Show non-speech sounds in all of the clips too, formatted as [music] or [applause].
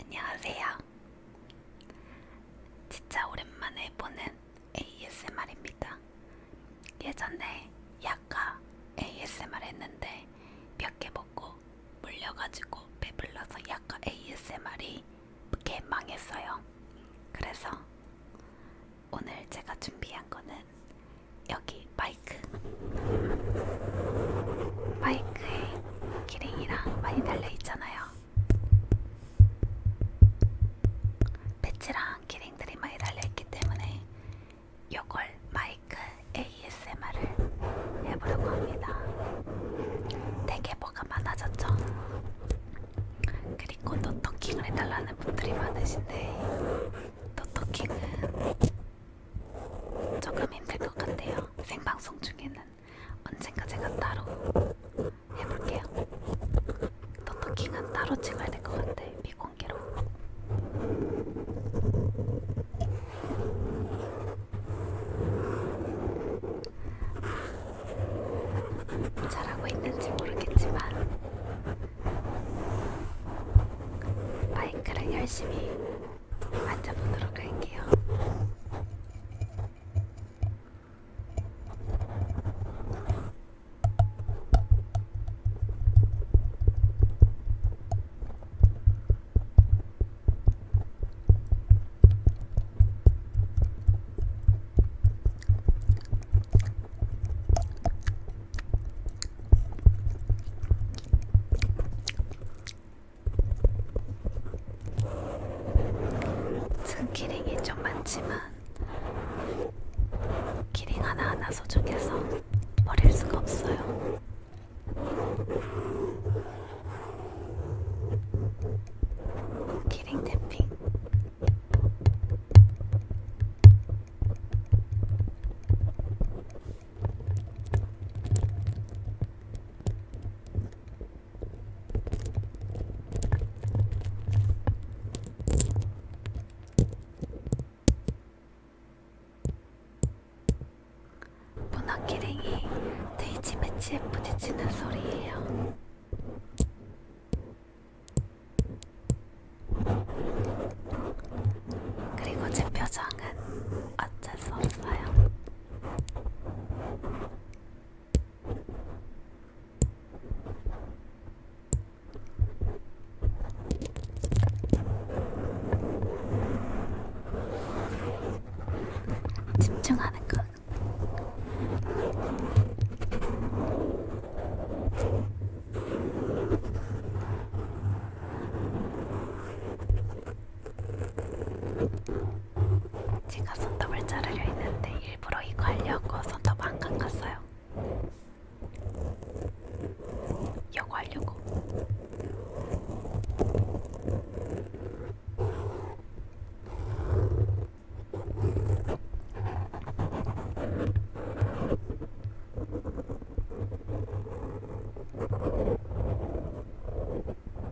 안녕하세요. 진짜 오랜만에 보는 ASMR입니다. 예전에 약과 ASMR 했는데 몇 개 먹고 물려가지고 배불러서 약과 ASMR이 개 망했어요. 그래서 오늘 제가 준비한 거는 여기 마이크. 마이크에 기링이랑 많이 달려있잖아요. 배치랑 기링들이 많이 달려있기 때문에 요걸 마이크 ASMR을 해보려고 합니다. 되게 뭐가 많아졌죠? 그리고 노토킹을 해달라는 분들이 많으신데 노토킹은 조금 힘들 것 같아요. 생방송 중에는. 언젠가 제가 따로 해볼게요. 던더킹은 따로 찍어야 될것 같아. 비공개로. 잘하고 있는지 모르겠지만 마이크를 열심히 만져보도록 할게요. 큰 기링이 좀 많지만 기링 하나하나 소중해서 버릴 수가 없어요. 기링 탭핑 문어기링이 데이지 매치에 부딪히는 소리예요. 그리고 제 표정은 어쩔 수 없어요. 집중하는 것. 제가 손톱을 자르려 했는데 일부러 이거 하려고 손톱 안 감갔어요. 이거 하려고.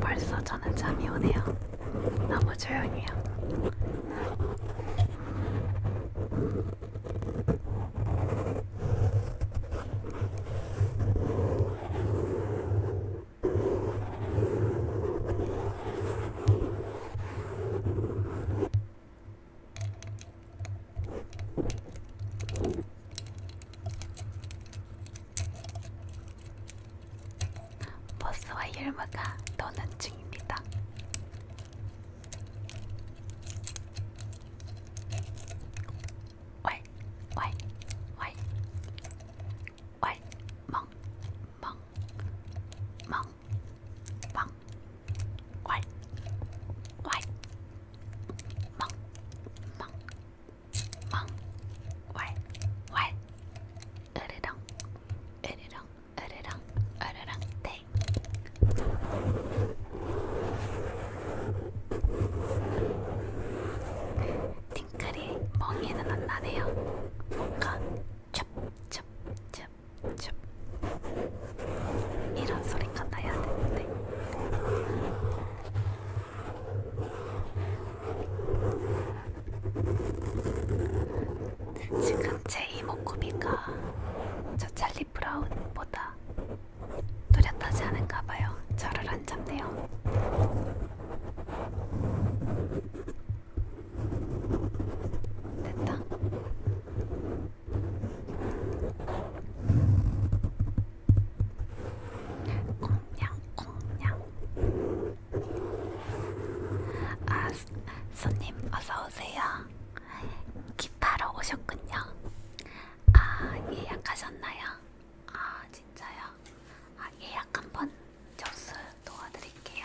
벌써 저는 잠이 오네요. 너무 조용해요. 버스와 열마가 떠난 중입니다. 왈, 왈, 왈, 왈, 멍, 멍, 멍, 멍, 왈, 왈, 멍, 멍, 멍왈왈 으르렁 으르렁 으르렁 으르렁 땡 팅클이 멍에는 안 나네요 뭔가 춥춥춥춥 이런 소리가 나야 되는데 지금 제 이목구비가 저 찰리 브라운보다 또렷하지 않은가 봐요. 저를 안 잡네요. 됐다. 공냥공냥 아, 손님 어서오세요. 기타로 오셨군요. 아, 예약하셨나요? 아, 진짜요? 아, 예약 한번 접수 도와드릴게요.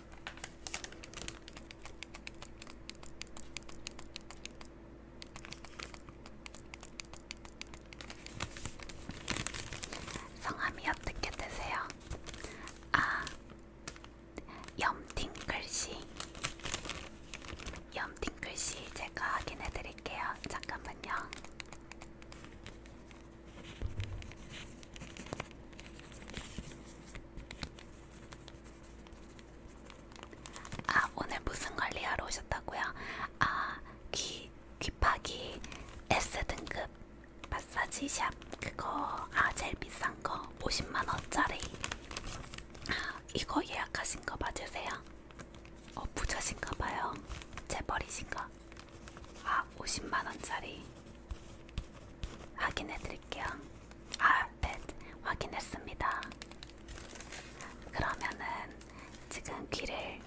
성함이 어떻게 되세요? 아, 염팅글씨. 염팅글씨 제가 확인해 드릴게요. 잠깐만요. 아 오늘 무슨 관리하러 오셨다고요? 아 귀 귀파기 S 등급 마사지 샵 그거 아 제일 비싼 거 50만 원짜리 아, 이거 예약하신 거 맞으세요? 어 부자신가 봐요. 재벌이신가? 아 50만원짜리 확인해 드릴게요 아네 확인했습니다 그러면은 지금 귀를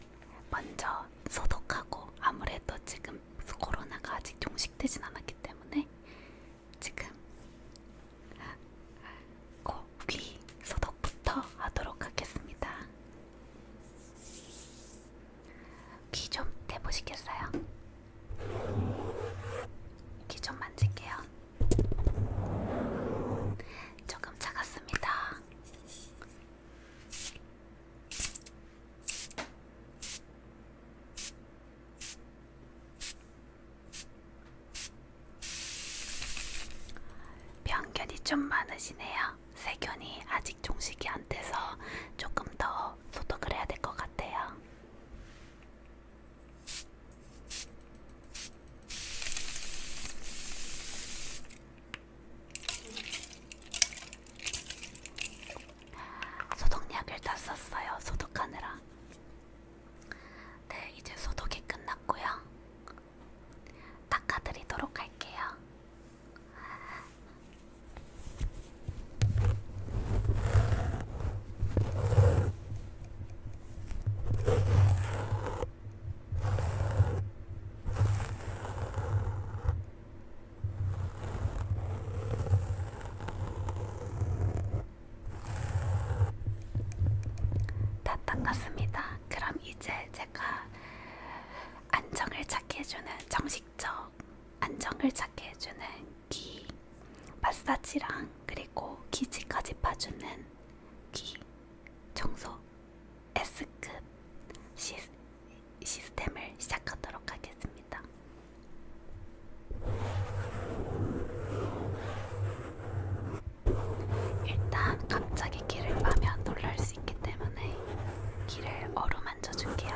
먼저 소독하고 아무래도 지금 코로나가 아직 종식되진 않았기 때문에 지금 코귀 소독부터 하도록 하겠습니다. 귀좀 대보시겠어요? 귀 좀 만질게요. 조금 차갑습니다. 편견이 좀 많으시네요. 세균이 아직 종식이 안 돼서 조금 더 소독을 해야 될 것 같아요. 소독약을 다 썼어요. 소독하느라. 네, 이제 소독이 끝났고요. 닦아드리도록 할게요. 다 닦았습니다. 그럼 이제 제가 안정을 찾게 해주는 정식처 안정을 찾게 해주는 귀, 마사지랑 그리고 기지까지 파주는 귀, 청소 S급 시, 시스템을 시작하도록 하겠습니다. 일단 갑자기 길을 빠면 놀랄 수 있기 때문에 길을 어루만져 줄게요.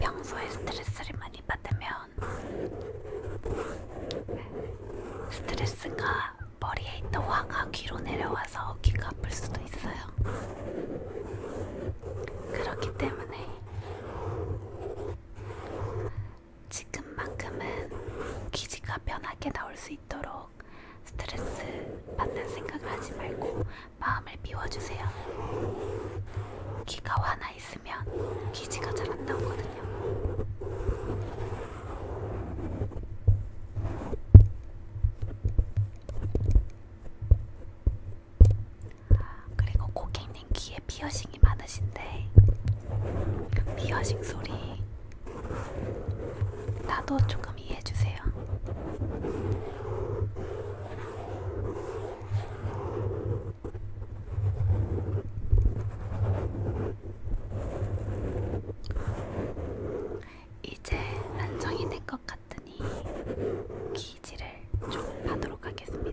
평소에 스트레스를 많이 받으면 스트레스가 머리에 있던 화가 귀로 내려와서 귀가 아플 수도 있어요. 그렇기 때문에 지금만큼은 기지가 편하게 나올 수 있도록 갈수록 스트레스 받는 생각을 하지 말고 마음을 비워주세요. 귀가 화나 있으면 기지가 잘 안 나오거든요. 그리고 고객님 귀에 피어싱이 많으신데 그 피어싱 소리 나도 조금 동의해주세요. 이제 안정이 된것 같으니 기지를 좀 하도록 하겠습니다.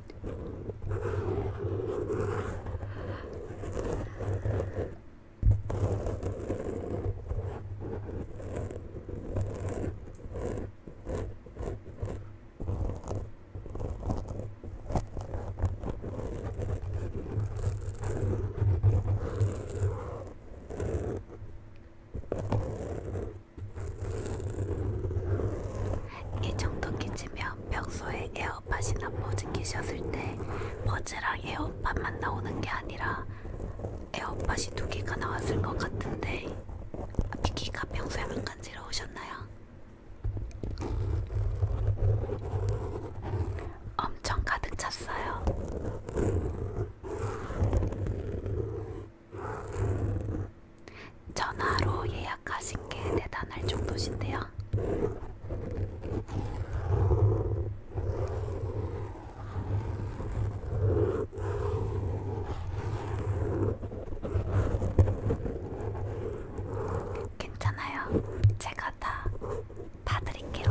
이 정도 기침면 평소에 에어 에어팟이나 버즈 끼셨을 때 버즈랑 에어팟만 나오는 게 아니라 에어팟이 두 개가 나왔을 것 같은데 귀가 평소에 안 간지러우셨나요? 엄청 가득 찼어요. 전화로 예약하신 게 대단할 정도신데요. 괜찮아요. 제가 다 봐드릴게요.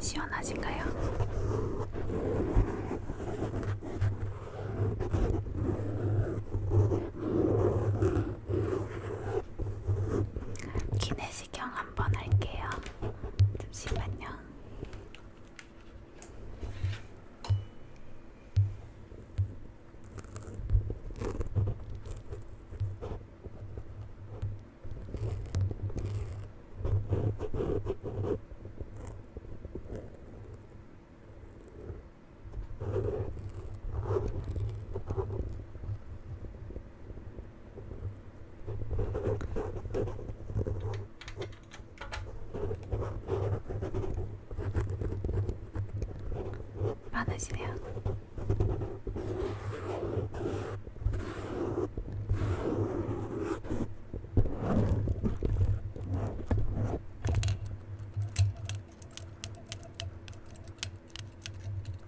시원하신가요? 기네스 내시경 한번 할게요. 잠시만요. 많으시네요.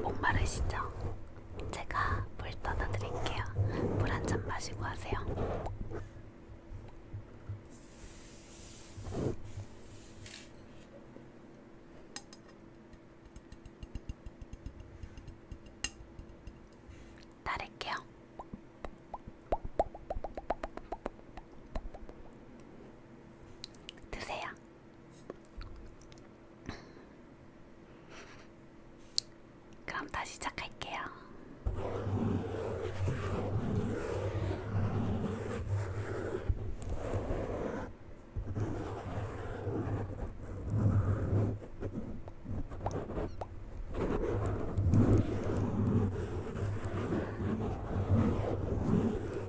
목마르시죠? 제가 물 떠다 드릴게요. 물 한 잔 마시고 하세요. 따를게요. 드세요. 그럼 다시 시작할게요.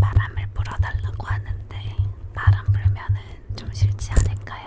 바람을 불어달라고 하는데 바람 불면은 좀 싫지 않을까요?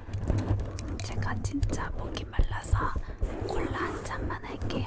제가 진짜 목이 말라서 콜라 한 잔만 할게요.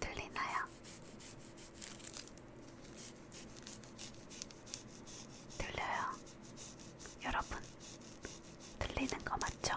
들리나요? 들려요. 여러분, 들리는 거 맞죠?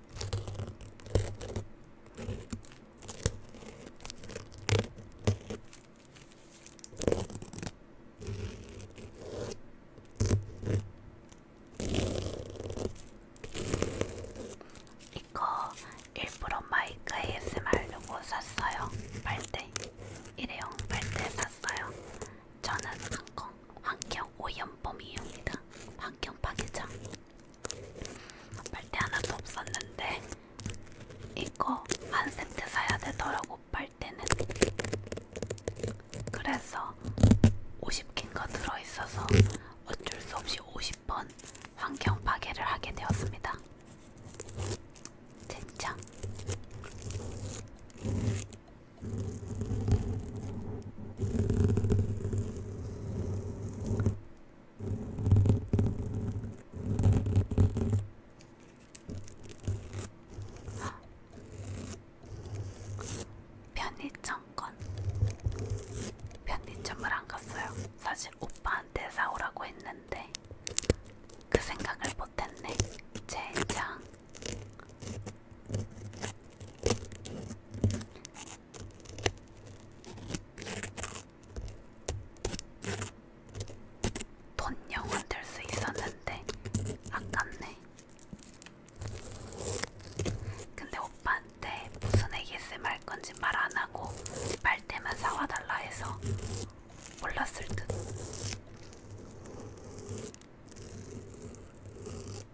이거 일부러 마이크 ASM 하려고 샀어요. 빨대. 일회용 빨대 샀어요. 저는 한공 환경 오염범이입니다. 환경 파괴자. 빨대 하나도 없었는데 이거 한 세트 사야 되더라고 빨대는 그래서 50캔가 들어있어서 어쩔 수 없이 50번 환경 파괴를 하게 되었습니다. 진짜 편의점건 편의점을 안 갔어요. 사실 오빠한테 사오라고 했는데 그 생각을 못했네. 젠장 돈 영원 들수 있었는데 아깝네. 근데 오빠한테 무슨 ASM 할 건지 말 안 하고 빨대만 사와달라 해서 몰랐을 듯.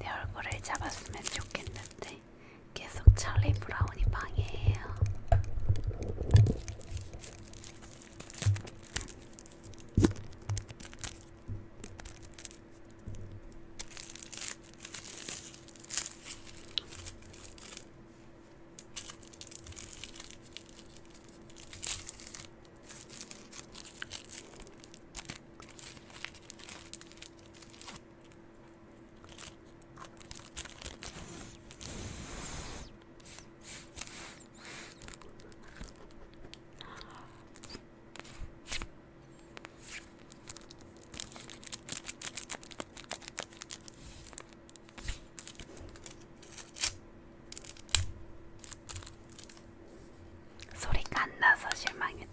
내 얼굴을 잡았으면 좋겠는데 계속 찰리 브라운이 방해해요. 소리가 안 나서 실망했다.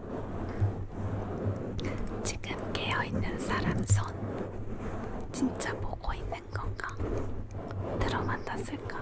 지금 깨어있는 사람 손 진짜 보고 있는 건가? 들어만 땄을까?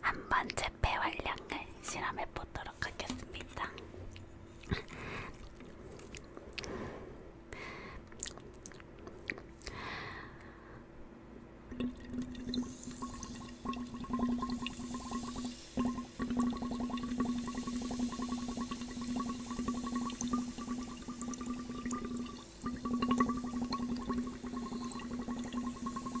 한 번째 폐활량을 실험해 보도록 보도록 하겠습니다.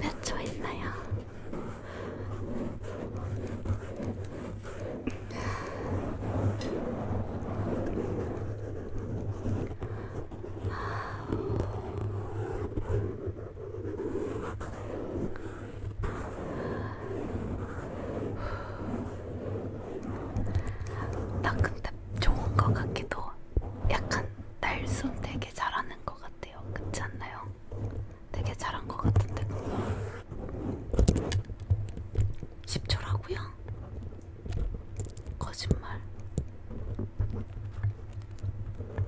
몇초 있나요? 나 근데 좋은 것 같기도 약간 날숨 되게 잘하는 것 같아요. 그렇지 않나요? 되게 잘한 것 같은데 10초라고요? 거짓말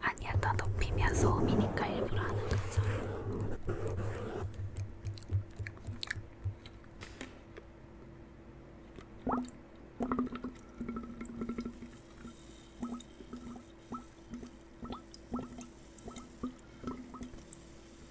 아니야, 더 높이면 소음이니까 일부러 하는 거죠.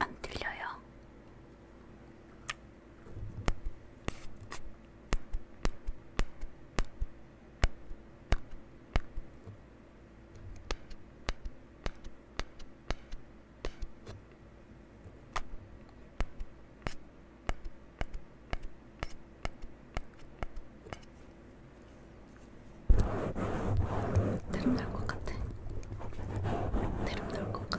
안 들려요? 대름 날것 같아. 대름 날것 같아.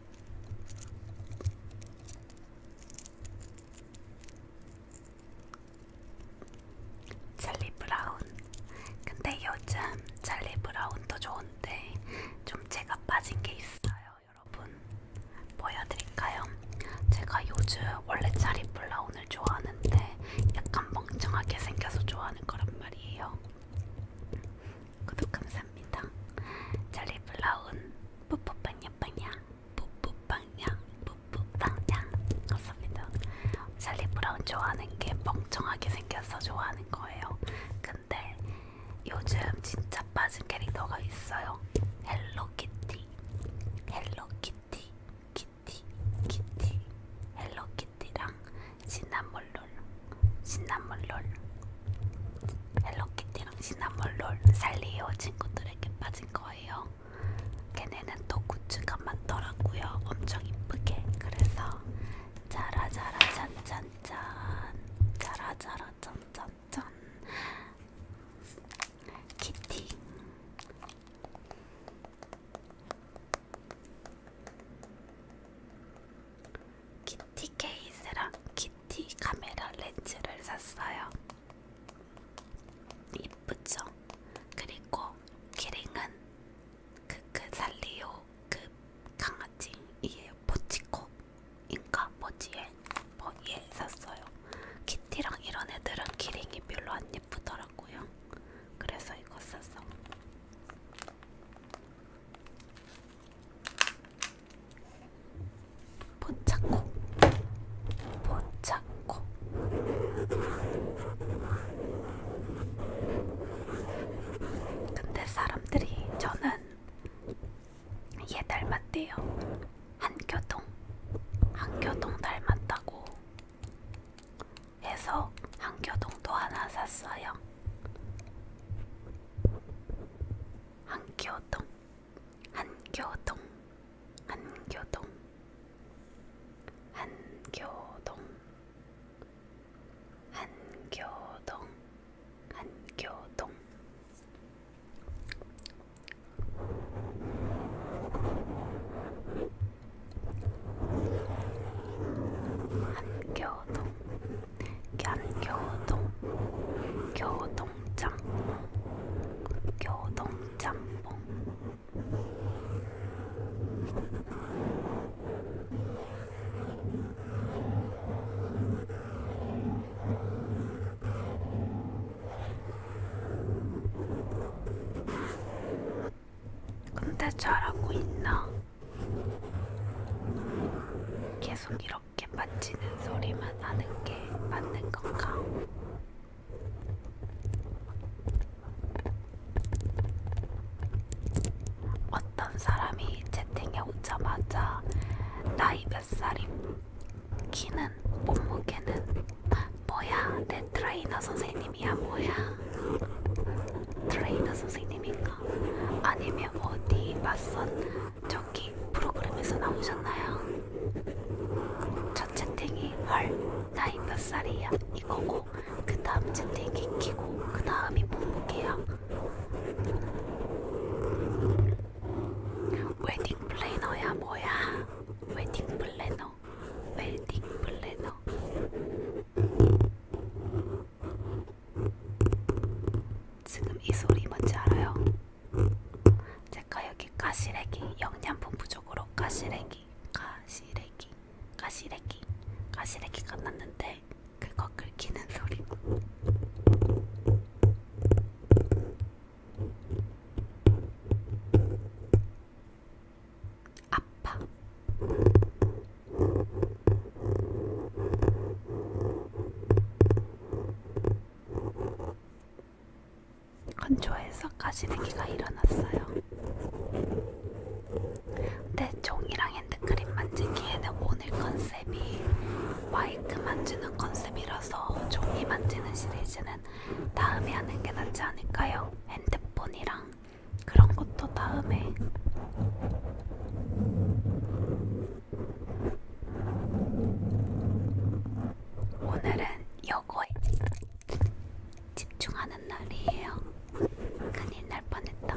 젤리 브라운. 근데 요즘 젤리 브라운도 좋은데 좀 제가 빠진 게 있어요, 여러분. 보여드릴까요? 제가 요즘 원래 젤리 브라운을 좋아하는데 약간 멍청하게 생겨서 좋아하는 거란 말이에요. 구독 감사합니다. 잘리 불러온 뽀뽀빵냐 빵냐 뽀뽀빵냐 뽀뽀빵냐 감사합니다. 잘리 브라운 좋아하는 게 멍청하게 생겨서 좋아하는 거예요. 근데 요즘 진짜 빠진 캐릭터가 있어요. 헬로키티, 헬로키티, 키티, 키티, 헬로키티랑 시나몰롤, 시나몰롤, 헬로키티랑 시나몰롤 살리오 친구들에게 빠진 거예요. 걔네는 또 굿즈가 많더라고요. 엄청 이쁘게. 그래서 자라자라 짠짠짠 자라자라 짠짠짠 키티 키티 케이스랑 키티 카메라 렌즈를 샀어요. 이쁘죠? 그리고 키링은 그 그 살리오 그, 그, 그 강아지이에요. 포치코인가 뭐지에 뭐예 샀어요. 키티랑 이런 애들은 키링이 별로 안 예쁘더라고요. 그래서 이거 샀어. 포착코 포착코 근데 사람들이 저는 얘 닮았대요. 한교동 한교동 닮았다고 해서 한교동도 하나 샀어요. 한교동 한교동 한교동 한교동 한교동 한교동 한교동 꽄겨우동 겨우동짬뽕 겨우동짬뽕 근데 잘하고 있나? 계속 이렇게 갯받치는 소리만 하는 게 맞는 건가? 어떤 사람이 채팅에 오자마자 나이 몇 살임? 키는? 몸무게는? 뭐야? 내 트레이너 선생님이야 뭐야? 트레이너 선생님인가? 아니면 어디 맞선 저기 프로그램에서 나오셨나요? 첫 채팅이 헐 나이 몇 살이야 이거고 그 다음 채팅이 키고 그 다음이 몸무게야 웨딩 플래너야 뭐야 웨딩 플래너 웨딩 플래너 지금 이 소리 뭔지 알아요? 제가 여기 가시래기 영양분 부족으로 가시래기 가시래기 가시래기 가시래기가 났는데 그거 긁히는 소리 아파 건조해서 가시내기가 일어났어요. 근데 종이랑 핸드크림 만지기에는 오늘 컨셉이 마이크 만지는 컨셉이라서 종이 만지는 시리즈는 다음에 하는 게 낫지 않을까요? 핸드폰이랑 그런 것도 다음에. 오늘은 요거에 집중하는 날이에요. 큰일 날 뻔했다.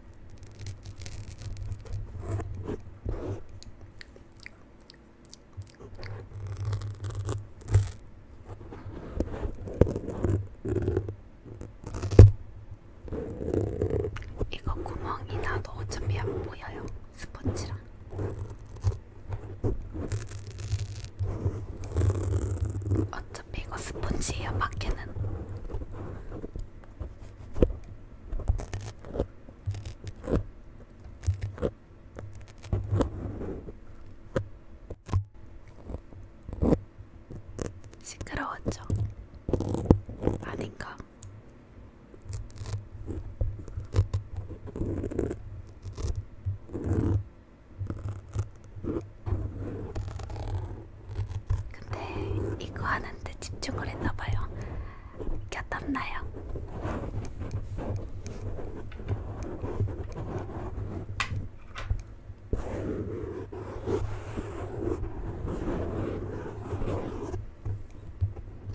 이거 구멍이 나도 어차피 안 보여요. 스펀지랑. 어차피 이거 스펀지예요. 밖에는 시끄러웠죠? 아닌가? 근데 이거 하는데 집중을 했나봐요. 곁땀나요.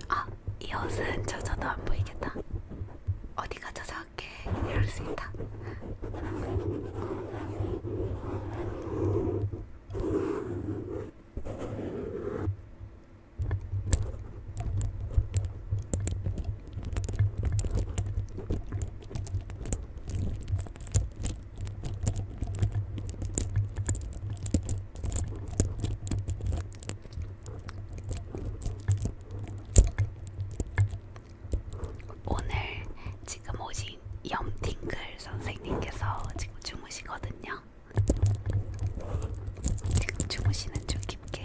아, 이 옷은 젖어도 안 보이겠다. 어디가 젖어올게 이럴 수 있다. 오늘 지금 오신 염팅글 선생님께서 지금 중 주무시거든요. 지금 주무시는 중 깊게.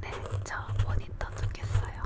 네, 저 모니터 두겠어요.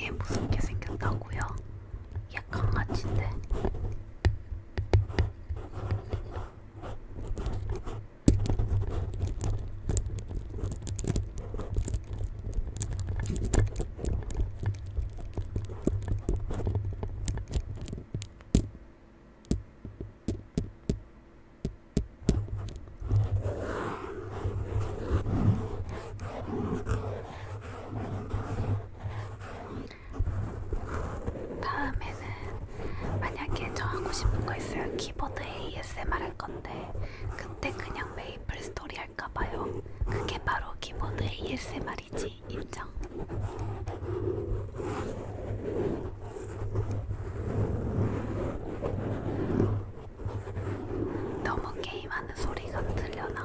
얘 무섭게 생겼다고요? 얘 강아지인데. 다음에는 만약에 저 하고 싶은 거 있어요. 키보드 ASMR 할 건데 그때 그냥 메이플 스토리 할까봐요. 그게 바로 키보드 ASMR이지, 인정. 너무 게임하는 소리가 들려나?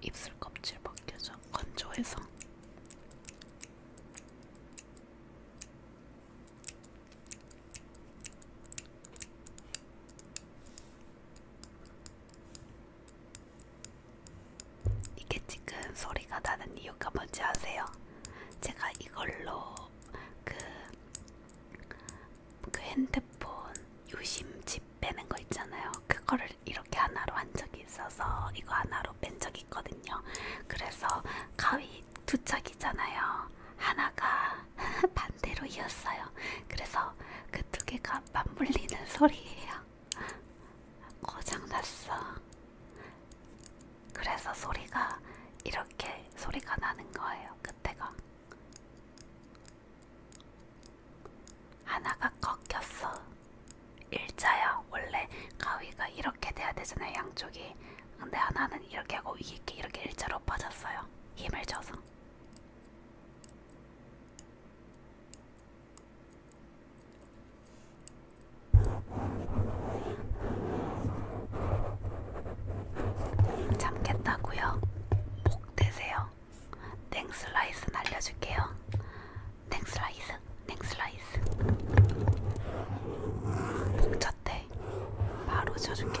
입술 껍질 벗겨져 건조해서 이게 지금 소리가 나는 이유가 뭔지 아세요? 제가 이걸로 그, 그 핸드폰 유심칩 빼는 거 있잖아요. 그거를 이렇게 하나로 한 적이 있어서 이거 하나로 뺀 적이 있거든요. 그래서 가위 두 짝이잖아요. 하나가 [laughs] 반대로 이었어요. 그래서 그 두 개가 맞물리는 소리예요. [laughs] 고장났어. 그래서 소리가 이렇게 소리가 나는 거예요. 그때가 하나가 꺾였어. 일자야 원래 가위가 이렇게 돼야 되잖아요. 양쪽이. 근데 하나는 이렇게 하고 이렇게 이렇게 일자로 빠졌어요. 힘을 줘서. 잠겠다고요? 복 되세요. 땡슬라이스 날려줄게요. 땡슬라이스, 땡슬라이스. 복 쳤대. 바로 쳐줄게.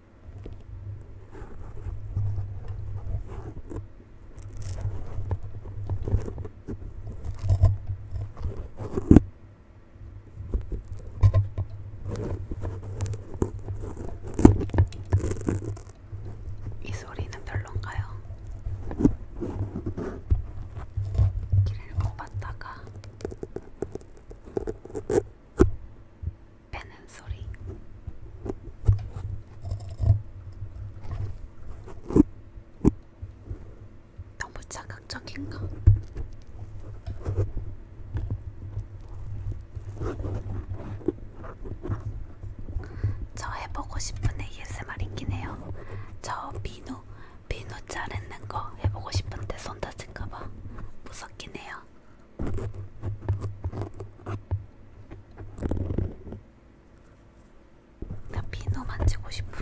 이 소리는 별론가요? 길을 못 봤다가 빼는 소리. 너무 자극적인가? 저 해보고 싶은 ASMR이긴 해요. 저 비누, 비누 자르는 거 해보고 싶은데 손 다친가봐 무섭긴 해요. 거야. 나 피노 만지고 싶어.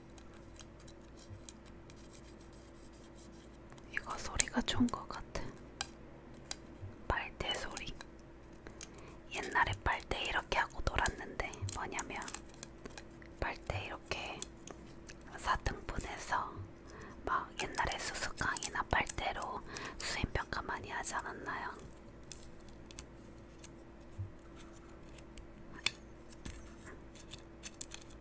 이거 소리가 좋은 것 같아. 빨대 소리. 옛날에 빨대 이렇게 하고 놀았는데 뭐냐면 빨대 이렇게 사등분해서 막 옛날에 수수깡이나 빨대로 수행평가 많이 하지 않았나요?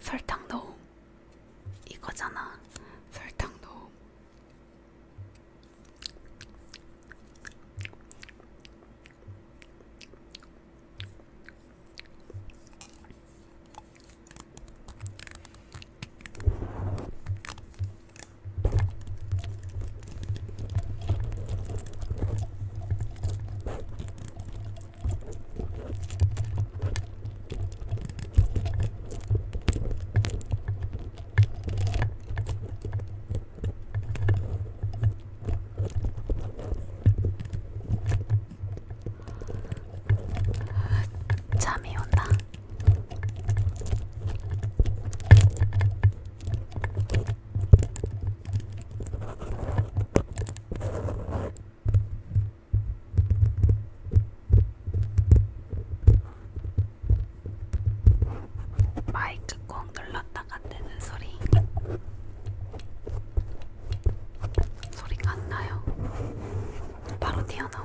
설탕 넣음 이거잖아 설탕 넣음 잠이 온다. 마이크 꼭 눌렀다가 뜨는 소리 소리가 안 나요. 바로 튀어나옴.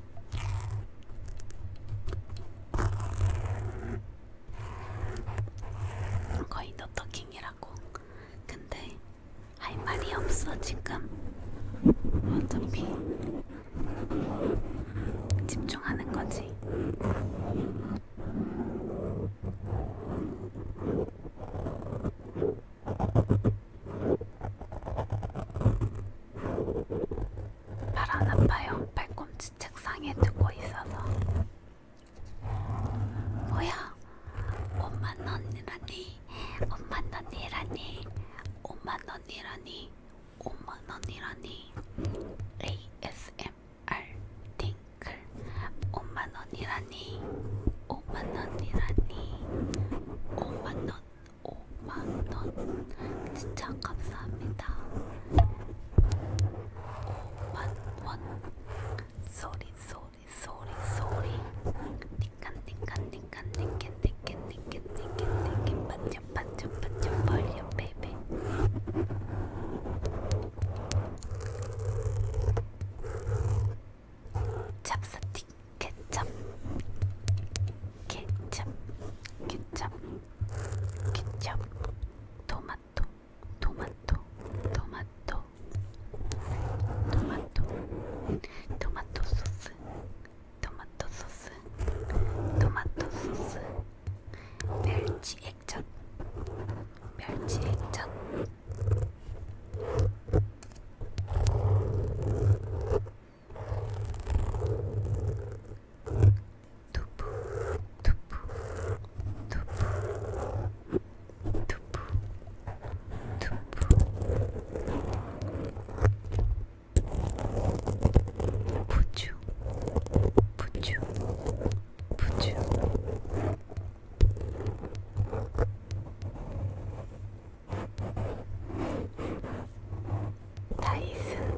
거의 노터킹이라고. 근데 할 말이 없어 지금. 어차피 집중하는 거지. 바람 아파요. 발꿈치. 다시 책상에 두고 있어서 뭐야 엄만 언니라니 엄만 언니라니 엄만 언니라니 엄만 언니라니 ASMR 띵글 엄만 언니라니 엄만 언니라니 엄만 언 오만원 진짜 감사합니다 one, one. Sorry, sorry, sorry, sorry. Tinkan, tinkan, tinkan, tinkan, tinkan, tinkan, tinkan, tinkan, but your, but your, but your, but your baby. Chapstick, ketchup, ketchup, ketchup. 케첩, 토마토, 토마토, 토마토, 토마토, 토마토 소스, 토마토 소스, 토마토 소스, 멸치 액젓, 멸치 액젓. 두부 두부 두부 두부 두부 부추 부추 부추 다이슨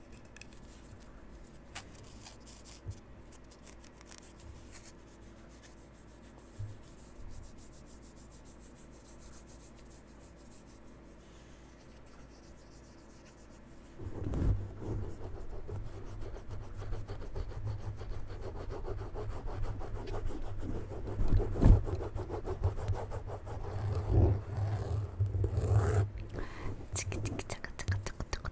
치키치키 차가차가차가차가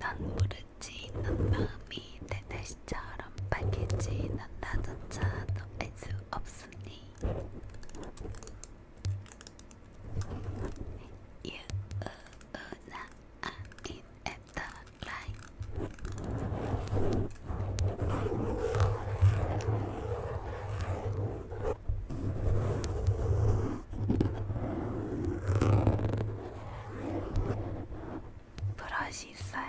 난 부르지 난 마음이 내 날씨처럼 밝겠지 난 나조차 너알수 없으니 유나 아닌 애다 브러시 있어요.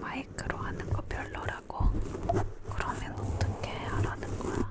마이크로 하는 거 별로라고? 그러면 어떻게 하라는 거야?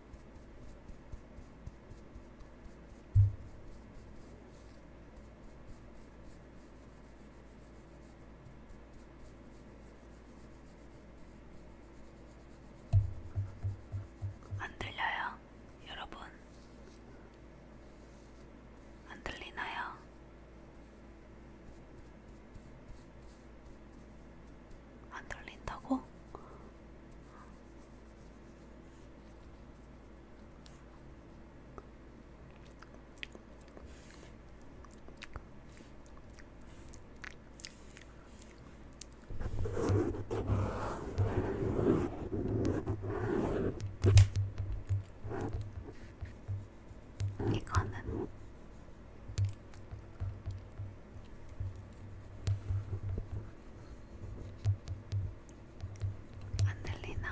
안 들려요, 여러분? 안 들리나요? 안 돌린다고? 이거는 안 들리나?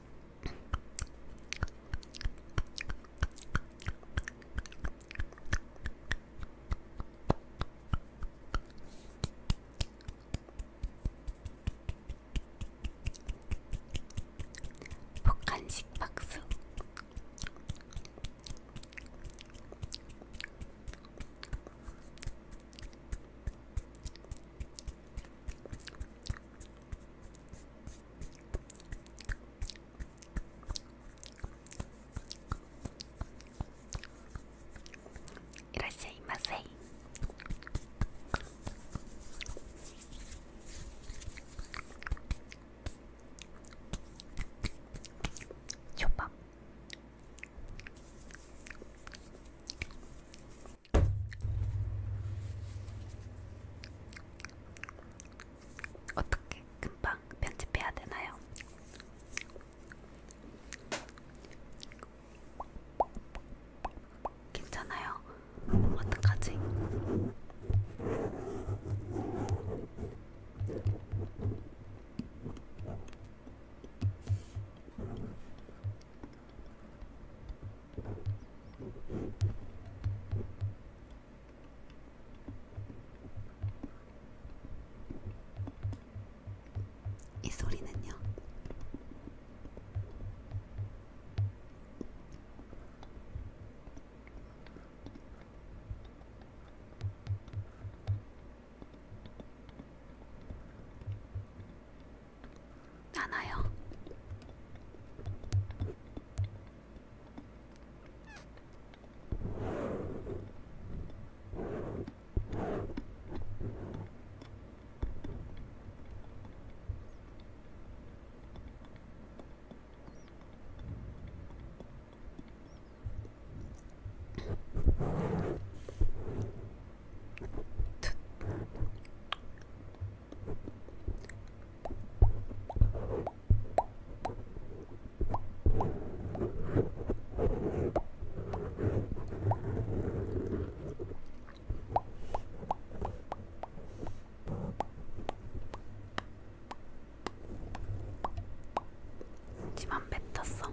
폭간식 박수 いらっしゃいませショパン 어떻게 금방 편집해야 되나요? 괜찮아요? 어떡하지? 이 소리는요. 않아요. 집안 뱉었어.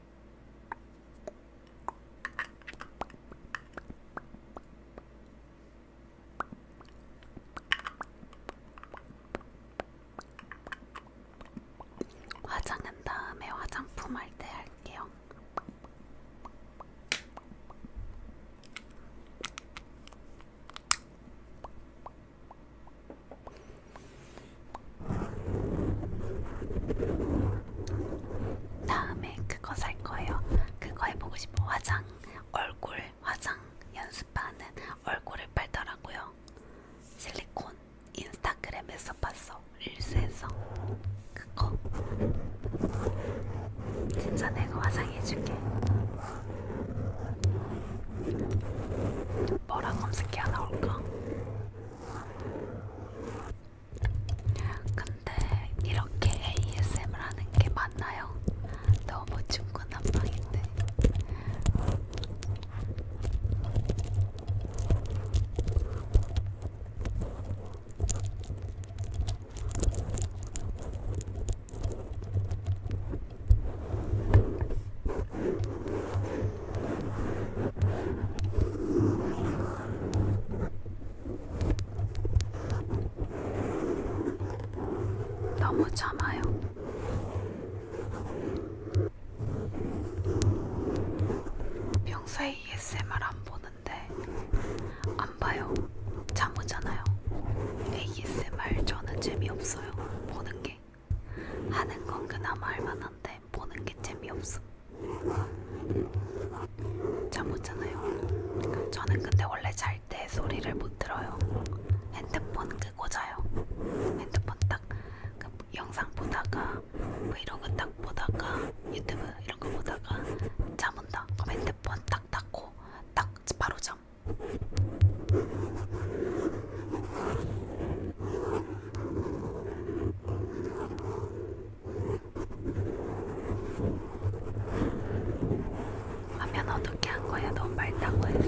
화장은 다음에 화장품 할 때 할게요. 다음에 그거 살 거예요. 그거 해보고 싶어. 화장, 얼굴, 화장 연습하는 얼굴을 팔더라고요. 실리콘 인스타그램에서 봤어. 릴스에서. 그거. 진짜 내가 화장해줄게. 뭐라 검색해야 나올까? 근데 이렇게 ASMR 하는 게 맞나요? 너무 중구난방인데. 너무 참아요. 평소에 ASMR 안 보는데 안 봐요. 잠 오잖아요. ASMR 저는 재미없어요. 보는 게 하는 건 그나마 할만한데 보는 게 재미없어. 잠 못잖아요. 그러니까 저는 근데 원래 잘 때 소리를 못 들어요. 핸드폰 끄고 자요. 핸드폰 딱그 영상 보다가 브이로그 뭐 딱 보다가 유튜브 이런 거 보다가 잠 온다. 그럼 핸드폰 딱 닫고 딱 바로 잠. 화면 어떻게 한 거야? 너무 맑다고 했어.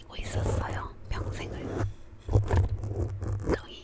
아끼고 있었어요. 평생을. 저희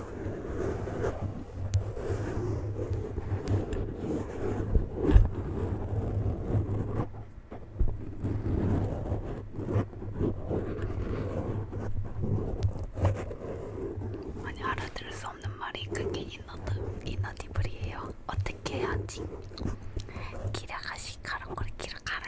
아니 알아들을 수 없는 말이 그게 인어드, 이너디블이에요. 어떻게 해야지? 기라가시 가랑거리 기라가라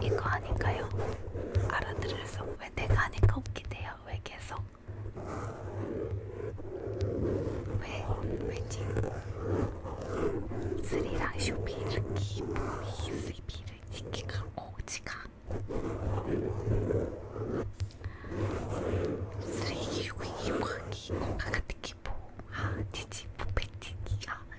이거 하니까요. 알아들을 수. 왜 내가 하니까 웃기대요. 왜 계속? 왜 왜지? 스리랑 쇼비를 기분이 스비를 지키가 오지가. 쓰레기 유기 이파기 공가 같은 기포 아 지지 부패티기 아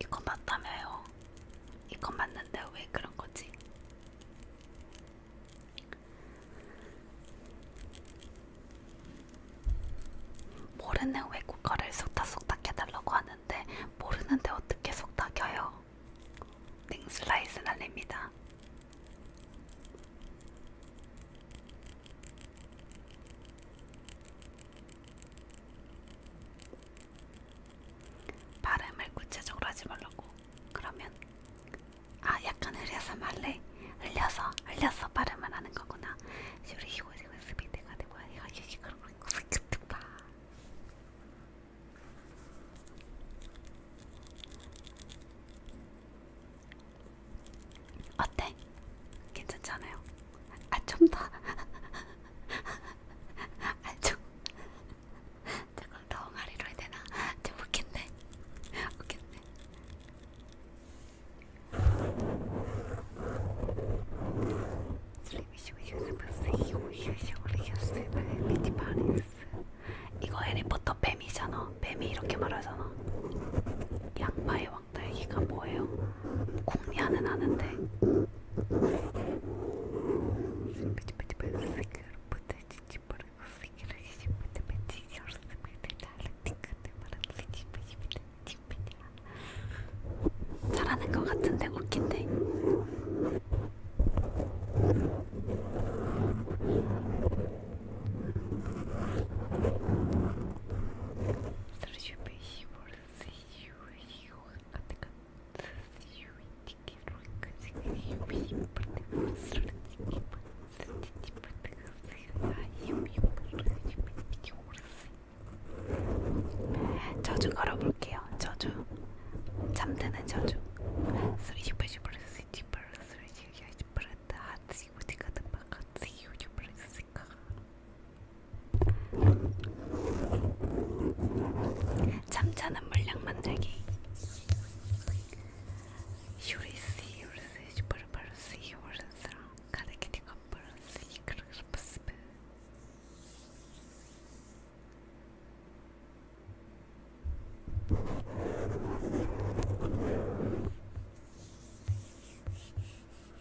이건 맞다며요. 이건 맞는데 왜 그런 거지? 모르는 외국어를 속닥속닥 해달라고 하는데 모르는데 어떻게 속닥여요? 닝슬라이스 날립니다. 발음을 구체적으로 하지 말라고. 그러면 아 약간 흘려서 말래. 흘려서 흘려서 발음을 하는 거구나. 우리 이거 지금 스피드가 되고 이거 여기 그런 거 같은 봐. 어때? 괜찮잖아요. 아, 좀 더. [laughs] 아, 좀. 잠깐, 더 옹알이로 해야 되나? 좀 웃긴데? 웃긴데? 이거 해리포터 뱀이잖아. 뱀이 이렇게 말하잖아. 양파의 왕. 왁달기가 뭐예요? 공리하는 아는데 잘하는 것 같은데 웃긴데 Слушай, спасибо. will see you you 저주 걸어볼게요. 저주 잠드는 저주. 잠자는 물량 만들기 유리씨 유리씨 슈퍼르바르씨 유리스랑 가르키티 커플씨 그르스프스베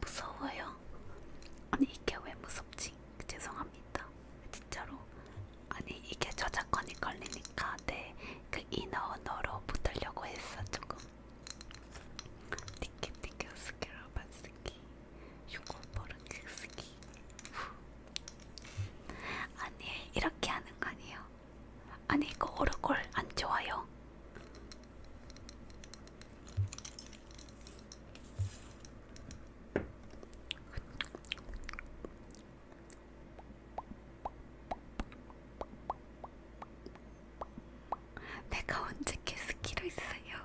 무서워요. 아니 이게 왜 무섭지? 죄송합니다. 진짜로. 아니 이게 저작권이 걸리니까 내그 네. 인어 언어로 붙으려고 했어 조금. 티켓 티켓 스키라 반스키 슈코버른 킥스키. 아니 이렇게 하는 거 아니에요? 아니 이거 오르골 안 좋아요. 내가 언제 캐스키로 있어요?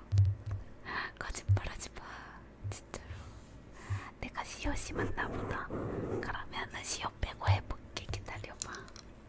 거짓말하지 마, 진짜로. 내가 시옷이 맞나 보다. 그러면은 시옷 빼고 해볼게. 기다려봐.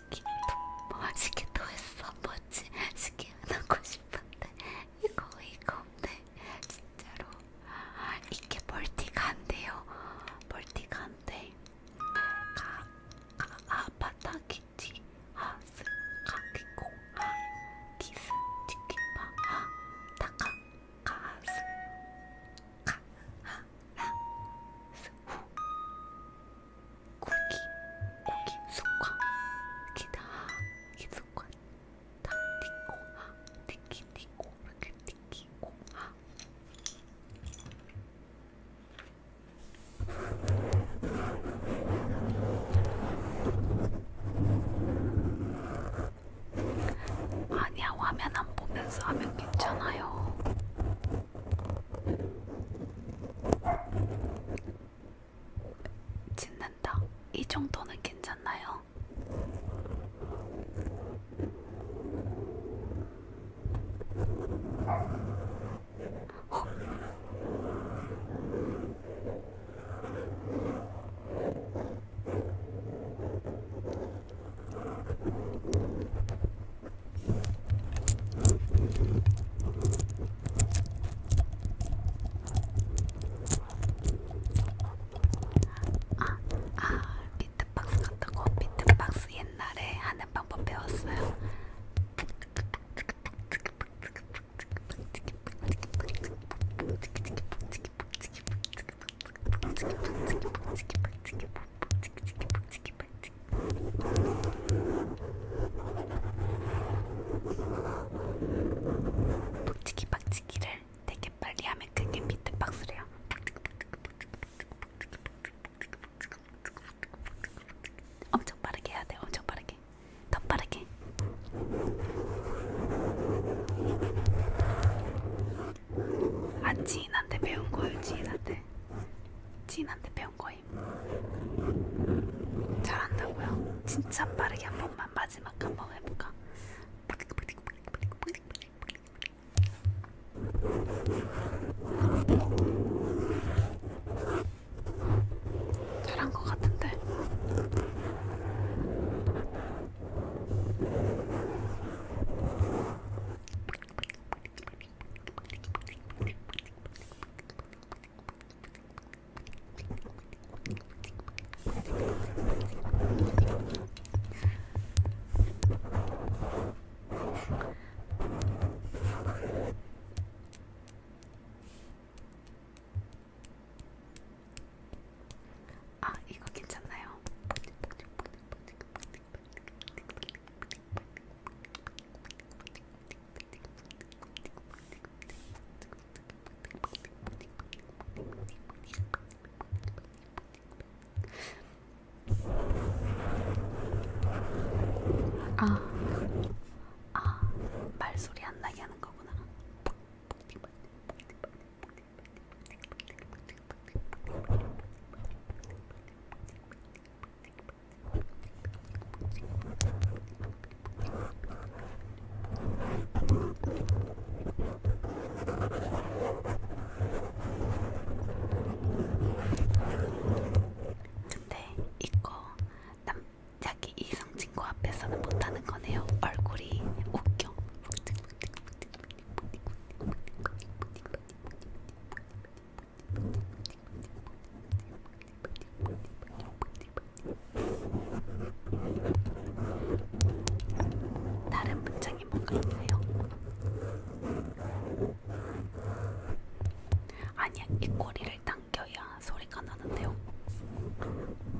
스킨도 뭐, 스킨도 했어 뭐지 스킨 하고 싶은데 이거 이거 없네 진짜로 이게 멀티가 안 돼요 멀티가 안 돼. 가, 가, 아, 바타키치, 하스, 가키코, 하, 키스, 치킨바, 하, 타카, 가스, 가, 하, 라, 스, 후. 고기, 고기, 숙화, 기다, 기숙화, 다, 티코, 하, 티키, 티코, 이렇게 티키, 고, 하. 아니야, 화면 안 보면서 하면 괜찮아요. 짖는다. 이 정도는 괜찮나요? 어? 아, 아, 비트박스 같은 거 비트박스 옛날에 하는 방법 배웠어요. 파츠. 복치기 박치기를 되게 빨리 하면 그게 비트박스래요. 엄청 빠르게 해야 돼. 엄청 빠르게. 더 빠르게. 아 지인한테 배운 거예요. 지인한테. 지인한테 배운 거예요. 거임. 잘한다고요? 진짜 빠르게 한 번만 마지막 한 번 해볼까? 잘한 것 같은데. 아, 이거 괜찮나요? 아, 아, 말소리 안 나게 하는 거구나. 근데 이거 남 자기 이성 친구 앞에서는 못하는 거네요. 얼굴이 웃겨. 다른 문장이 뭔가 있나요? 아니야, 이 꼬리를 당겨야 소리가 나는데요. 멍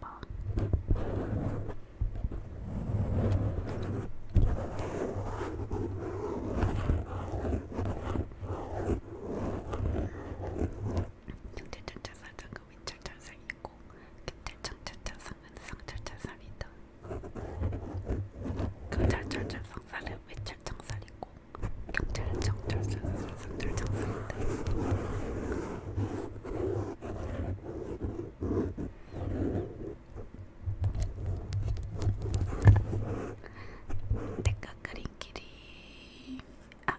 봐. 중철철철살과 윗철철살이고 기철철철철상은 상철철살이다. 경철철철상살은 윗철철살이고 경철철철철살은 상철철살이다. でかくりんきりあ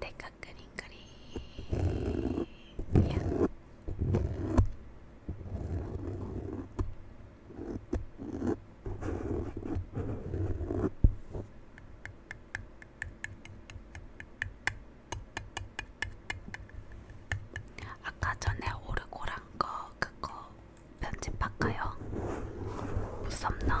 でかくりんかりいやあ 아까 전에 오르고 란거 그거 편집할까요? 무섭나?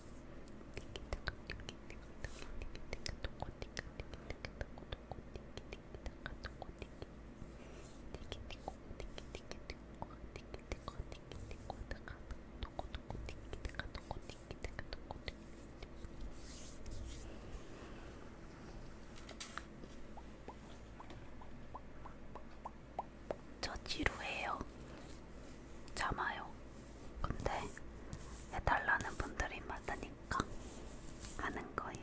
저 지루해요. 참아요. 근데 해달라는 분들이 많으니까 하는 거예요.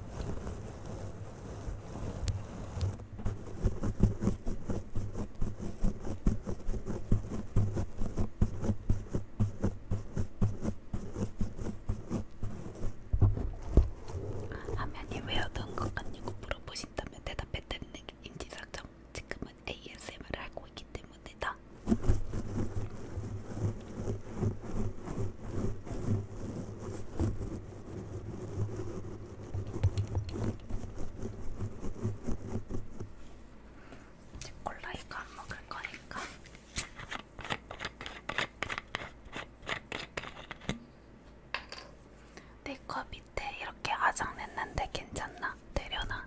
화면이 외우던 것 같냐고 물어보신다면 대답했다는 인지상정 지금은 ASMR을 하고 있기 때문이다. 이제 콜라 이거 안 먹을 거니까. 내거 밑에 이렇게 아작냈는데 괜찮나? 되려나?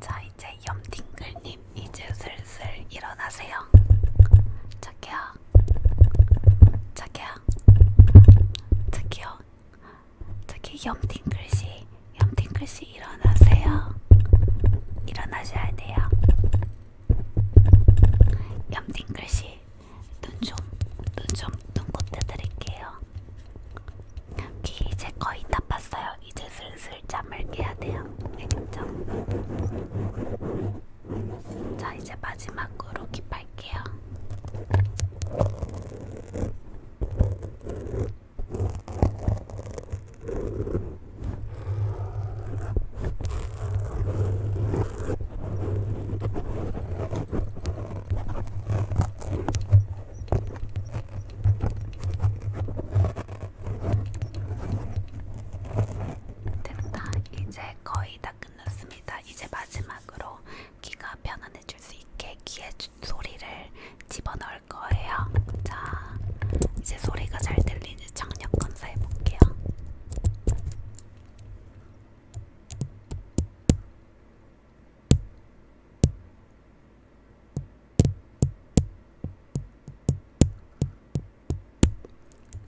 자 이제 염팅글님 이제 슬슬 일어나세요. 자기야, 자기야, 자기요. 저기 염팅글씨 염팅글씨 일어나세요 일어나셔야 돼요 염팅글씨 눈좀눈좀 눈곱대 드릴게요 귀 이제 거의 다 봤어요 이제 슬슬 잠을 깨야 돼요 알겠죠? 자 이제 마지막으로 깃발 할게요. 됐다. 이제 거의 다 끝났습니다. 이제 마지막으로 귀가 편안해질 수 있게 귀에 소리를 집어넣을 거예요. 자, 이제 소리가 잘 들리는 청력 검사 해볼게요.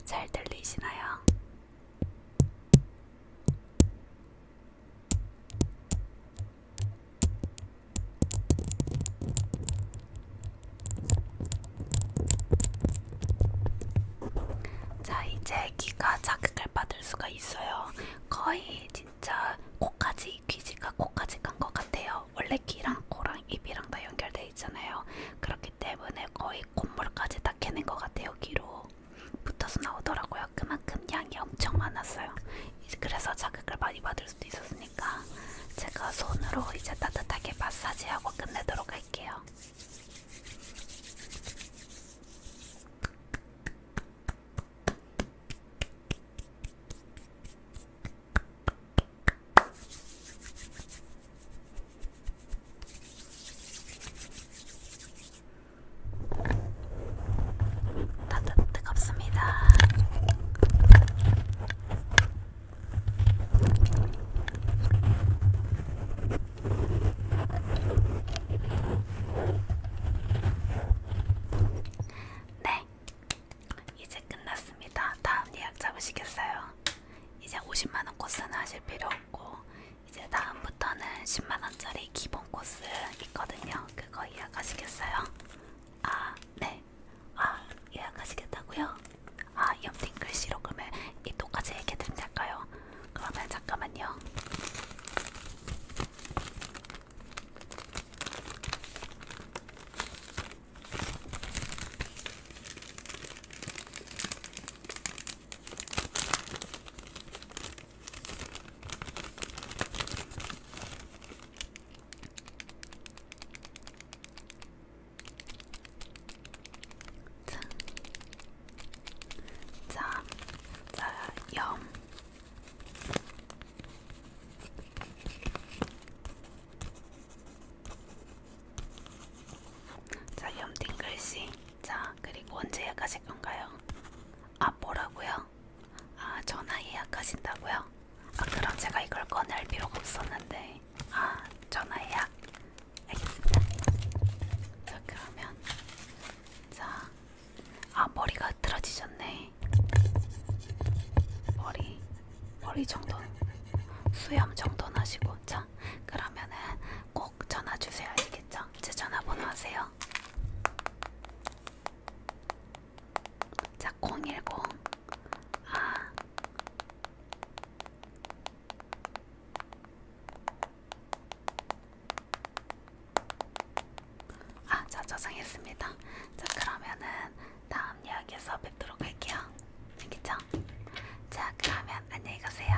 잘 들리시나요? 자, 이제 귀가 자극을 받을 수가 있어요. 거의 진짜 코까지 귀지가 코까지 간 것 같아요. 원래 귀랑 코랑 입이랑 다 연결돼 있잖아요. 그렇기 때문에 거의 콧물까지 다 캐낸 것 같아요. 귀로. 붙어서 나오더라고요. 그만큼 양이 엄청 많았어요. 그래서 자극을 많이 받을 수도 있었으니까 제가 손으로 이제 따뜻하게 마사지하고 끝내도록 할게요. 다들 뜨겁습니다. 네, 이제 끝났습니다. 다음 예약 잡으시겠어요? 이제 50만원 코스는 하실 필요 없고 이제 다음부터는 10만원짜리 기본 코스 있거든요. 그거 예약하시겠어요? 아, 네. 아, 예약하시겠다고요? 아, 염팅 글씨로 그러면 이 똑같이 얘기해드리면 될까요? 그러면 잠깐만요. 자, 자, 염. 자, 염 띵글씨. 자, 그리고 언제 가실 건가요? 아 뭐라고요? 아 전화 예약하신다고요? 아 그럼 제가 이걸 꺼낼 필요가 없었는데 아 전화 예약 알겠습니다 자 그러면 자 아 머리가 틀어지셨네 머리 머리 정돈 수염 정돈하시고 자 그러면은 꼭 전화 주세요 알겠죠? 제 전화번호 아세요? 있어요. 자, 010. 아. 아, 자, 저장했습니다. 자, 그러면은 다음 이야기에서 뵙도록 할게요. 알겠죠? 자, 그러면 안녕히 가세요.